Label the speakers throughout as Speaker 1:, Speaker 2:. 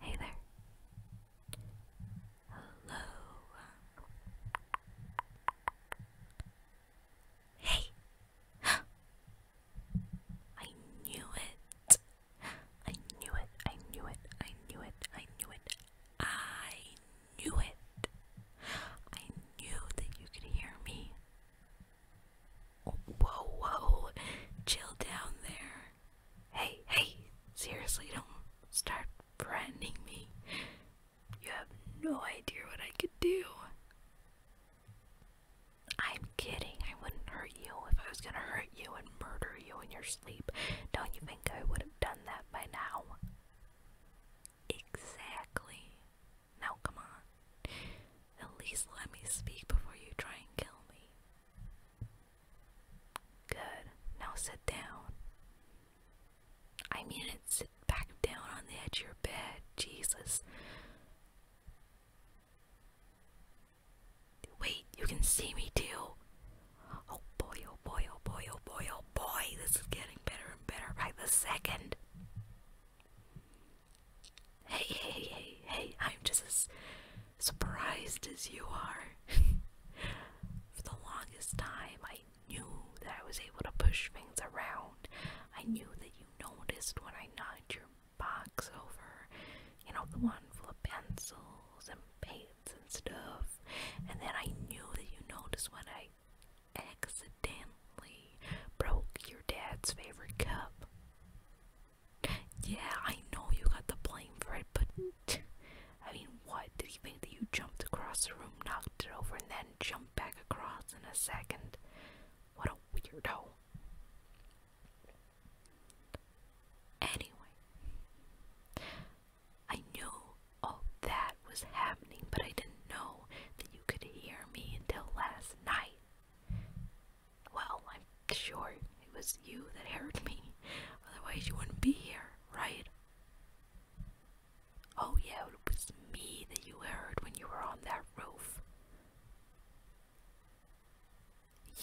Speaker 1: Hey there. Hello. Hey. I knew it. I knew it. I knew it. I knew it. I knew it. I knew it. I knew that you could hear me. Whoa, whoa, chill down there. Hey, hey, seriously, don't start threatening me. You have no idea what I could do. I'm kidding. I wouldn't hurt you. If I was gonna hurt you and murder you in your sleep, don't you think I would have done that by now? Exactly. Now come on. At least let me speak before you try and kill me. Good. Now sit down. I mean it, sit back down on the edge of your bed. Jesus. Wait, you can see me too. Oh boy, oh boy, oh boy, oh boy, oh boy. This is getting better and better by the second. Hey, hey, hey, hey, I'm just as surprised as you are. For the longest time, I knew that I was able to push things around. I knew that you noticed when I knocked your box over. You know, the one full of pencils and paints and stuff. And then I knew that you noticed when I accidentally broke your dad's favorite cup. Yeah, I know you got the blame for it, but I mean, what? Did he think that you jumped across the room, knocked it over, and then jumped back across in a second? What a weirdo. Anyway, I knew all that was happening, but I didn't know that you you could hear me until last night. Well, I'm sure it was you that heard me, otherwise, you wouldn't be here, right? Oh, yeah, it was me that you heard when you were on that roof.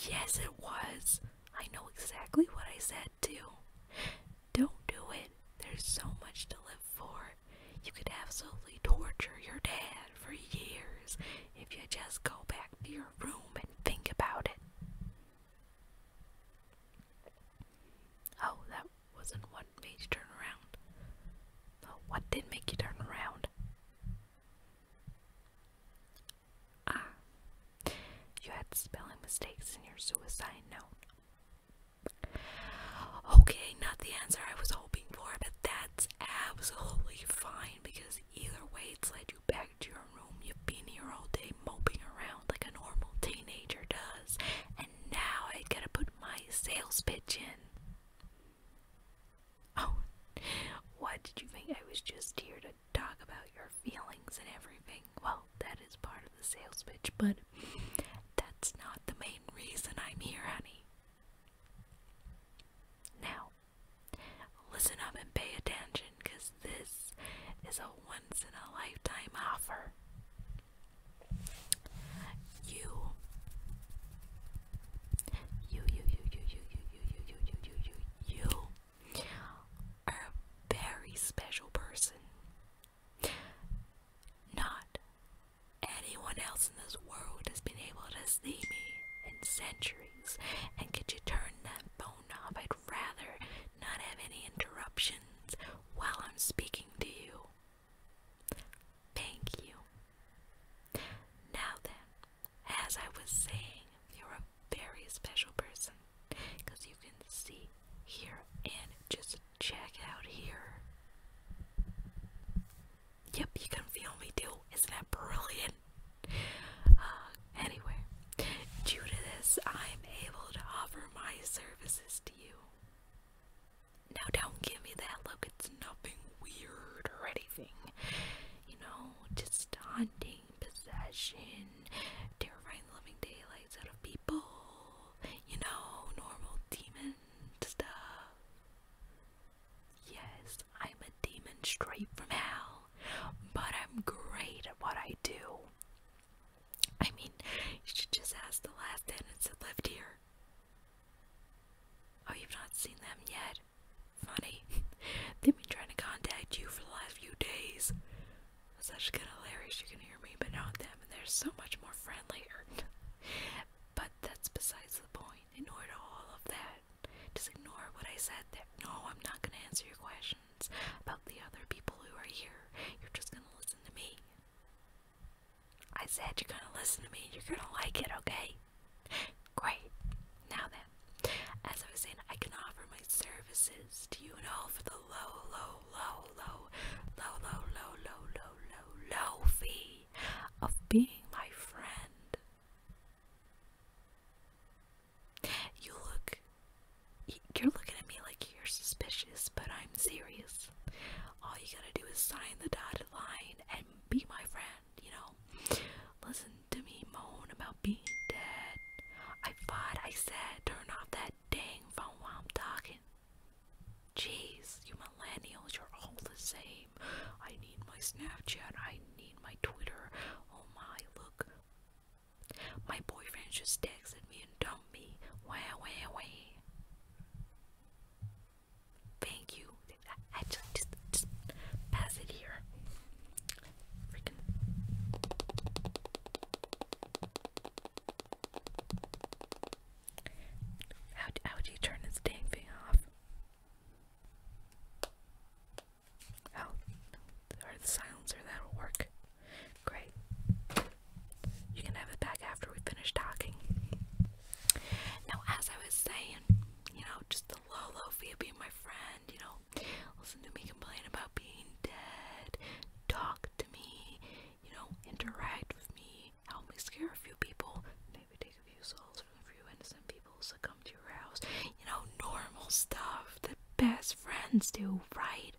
Speaker 1: Yes, it was. I know exactly what I said, too. Don't do it. There's so much to live for. You could absolutely torture your dad for years if you just go back to your room and think about it. Oh, that wasn't what made you turn around. Oh, what did make you turn around? Ah, you had spelling mistakes in your suicide note. Okay, not the answer I was hoping for, but that's absolutely fine because either way, it's led you back to your room. You've been here all day moping around like a normal teenager does, and now I gotta put my sales pitch in. Oh, what did you think? I was just here to talk about your feelings and everything. Well, that is part of the sales pitch, but that's not the main reason I'm here, honey. Now, listen up and pay attention because this is a once in a lifetime offer. You, you, you, you, you, you, you, you, you, you, you, you, you, are a very special person. Not anyone else in this world has been able to see me in centuries. And could you turn that phone off? I'd rather not have any interruptions while I'm speaking to you. Thank you. Now then, as I was saying, you're a very special person because you can see, hear, and just check out here. Yep, you can feel me too. Isn't that brilliant? Uh, anyway, due to this, I'm able to offer my services to you. Now, don't give me that look, it's nothing weird or anything. You know, just haunting, possession, terrifying living daylights out of people, you know, normal demons stuff. Yes, I'm a demon straight from hell, but I'm great at what I do. I mean, you should just ask the last tenants that lived here. Oh, you've not seen them yet? Funny. They've been trying to contact you for the last few days. It's actually kind of hilarious you can hear me, but not them, and they're so much more friendly. But that's besides the point. Ignore all of that. Just ignore what I said there. No, I'm not gonna answer your questions about the other people who are here. You're just gonna listen to me. I said you're gonna listen to me. You're gonna like it, okay? Great. Now then, as I was saying, I can offer my services to you and for the low, low, low, low, low, low, low, low, low, low, fee of being my friend. You look, you're looking at me like you're suspicious, but I'm serious. All you gotta do is sign the dotted line and be my friend, you know? Listen to me moan about being dead. I thought I said turn off that dang phone while I'm talking. Jeez, you millennials, you're all the same. I need my Snapchat, I need my Twitter. Oh my, look. My boyfriend just texted me and dumped me. Wah, wah, wah. Thank you. I just, just, just pass it here. Freaking. How do, how do you turn this dang thing off? Oh, or the silencer, that'll work. Great. You can have it back after we finish talking. Now, as I was saying, you know, just the low, low fee of being my friend, you know, listen to me complain about being dead, talk to me, you know, interact with me, help me scare a few people, maybe take a few souls from a few innocent people, succumb to your house, you know, normal stuff that best friends do, right?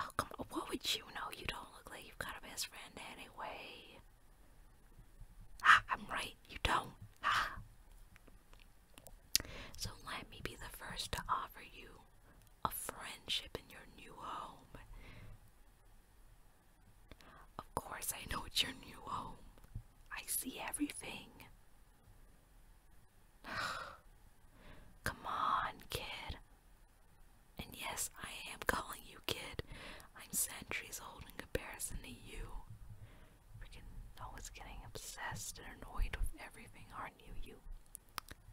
Speaker 1: Oh, come what would you know? You don't look like you've got a best friend anyway. I'm right, you don't. So let me be the first to offer you a friendship in your new home. Of course, I know it's your new home. I see everything. Come on, kid. And yes, I am calling you kid. I'm centuries old in comparison to you. Freaking always getting obsessed and annoyed with everything, aren't knew you.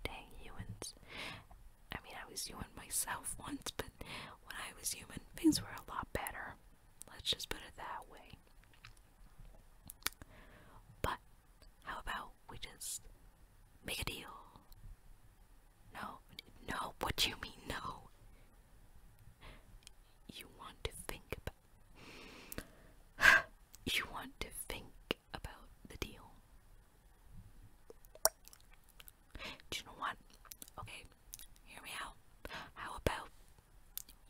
Speaker 1: Dang humans. I mean, I was human myself once, but when I was human, things were a lot better. Let's just put it that way. But how about we just make a deal? No, no, what you mean, no? You want to think about you want to think about the deal. Do you know what? Okay, hear me out. How about,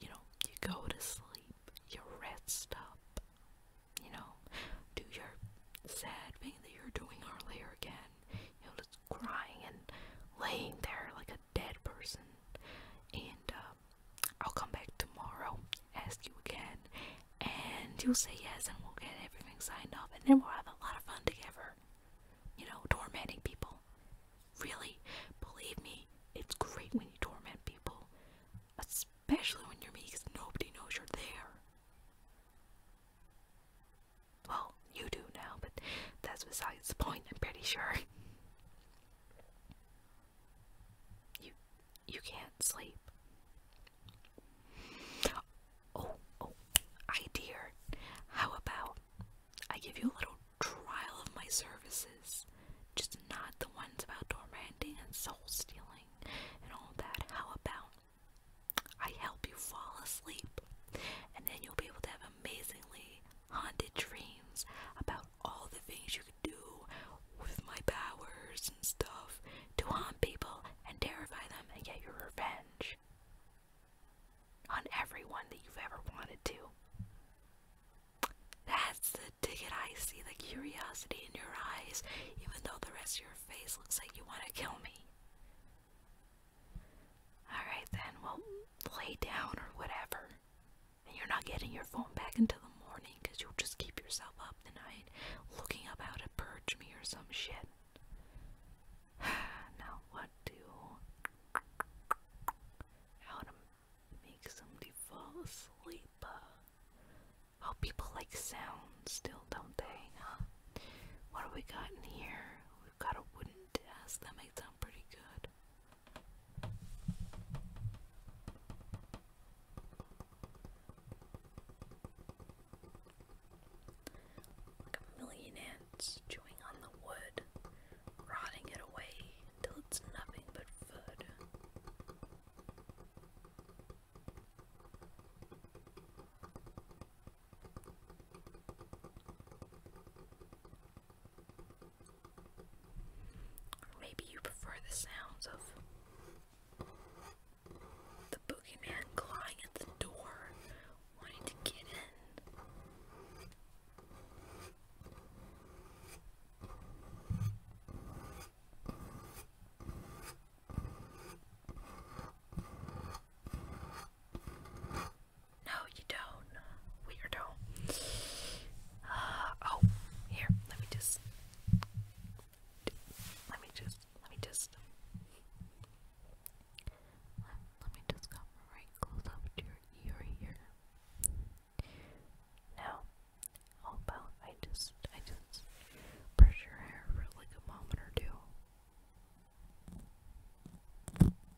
Speaker 1: you know, you go to sleep, you rest up, you know, do your sad thing that you are doing earlier again, you know, just crying and laying there like a dead person, and, uh, I'll come back tomorrow, ask you again, and you'll say yes, and we'll get everything signed off, and then we'll have a lot of fun together. You know, tormenting people. Really, believe me, it's great when you torment people, especially when you're me, because nobody knows you're there. Well, you do now, but that's besides the point, I'm pretty sure. You you can't sleep. Oh, oh, idea. How about I give you a little trial of my services? Just not the ones about tormenting and soul stealing and all that. How about I help you fall asleep and then you'll be able to have amazingly haunted dreams about all the things you do with my powers and stuff to harm people and terrify them and get your revenge on everyone that you've ever wanted to. That's the ticket I see, the curiosity in your eyes, even though the rest of your face looks like you want to kill me. Alright then, well, lay down or whatever and you're not getting your phone back until the morning because you'll just keep yourself up the night looking up how to purge me or some shit. now what do how to make somebody fall asleep? Uh, oh, people like sound still, don't they? What do we got in here? We've got a wooden desk that makes sound pretty good. Like a million ants chewing on the wood, rotting it away until it's nothing but food maybe you prefer the sounds of the boogeyman clawing at the door, wanting to get in. No, you don't alone, oh, weirdo. Uh, oh, here, let me just, let me just, let me just, let, me just come right close up to your ear here. Now, how about just, I just brush your hair for like a moment or two.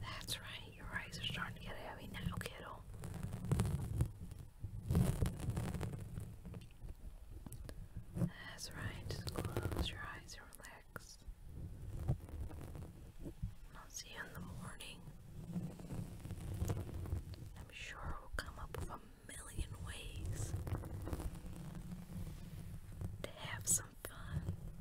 Speaker 1: That's right, your eyes are starting to get heavy now, kiddo. That's right, close your eyes and relax. I'll see you in the morning. I'm sure we'll come up with a million ways to have some fun.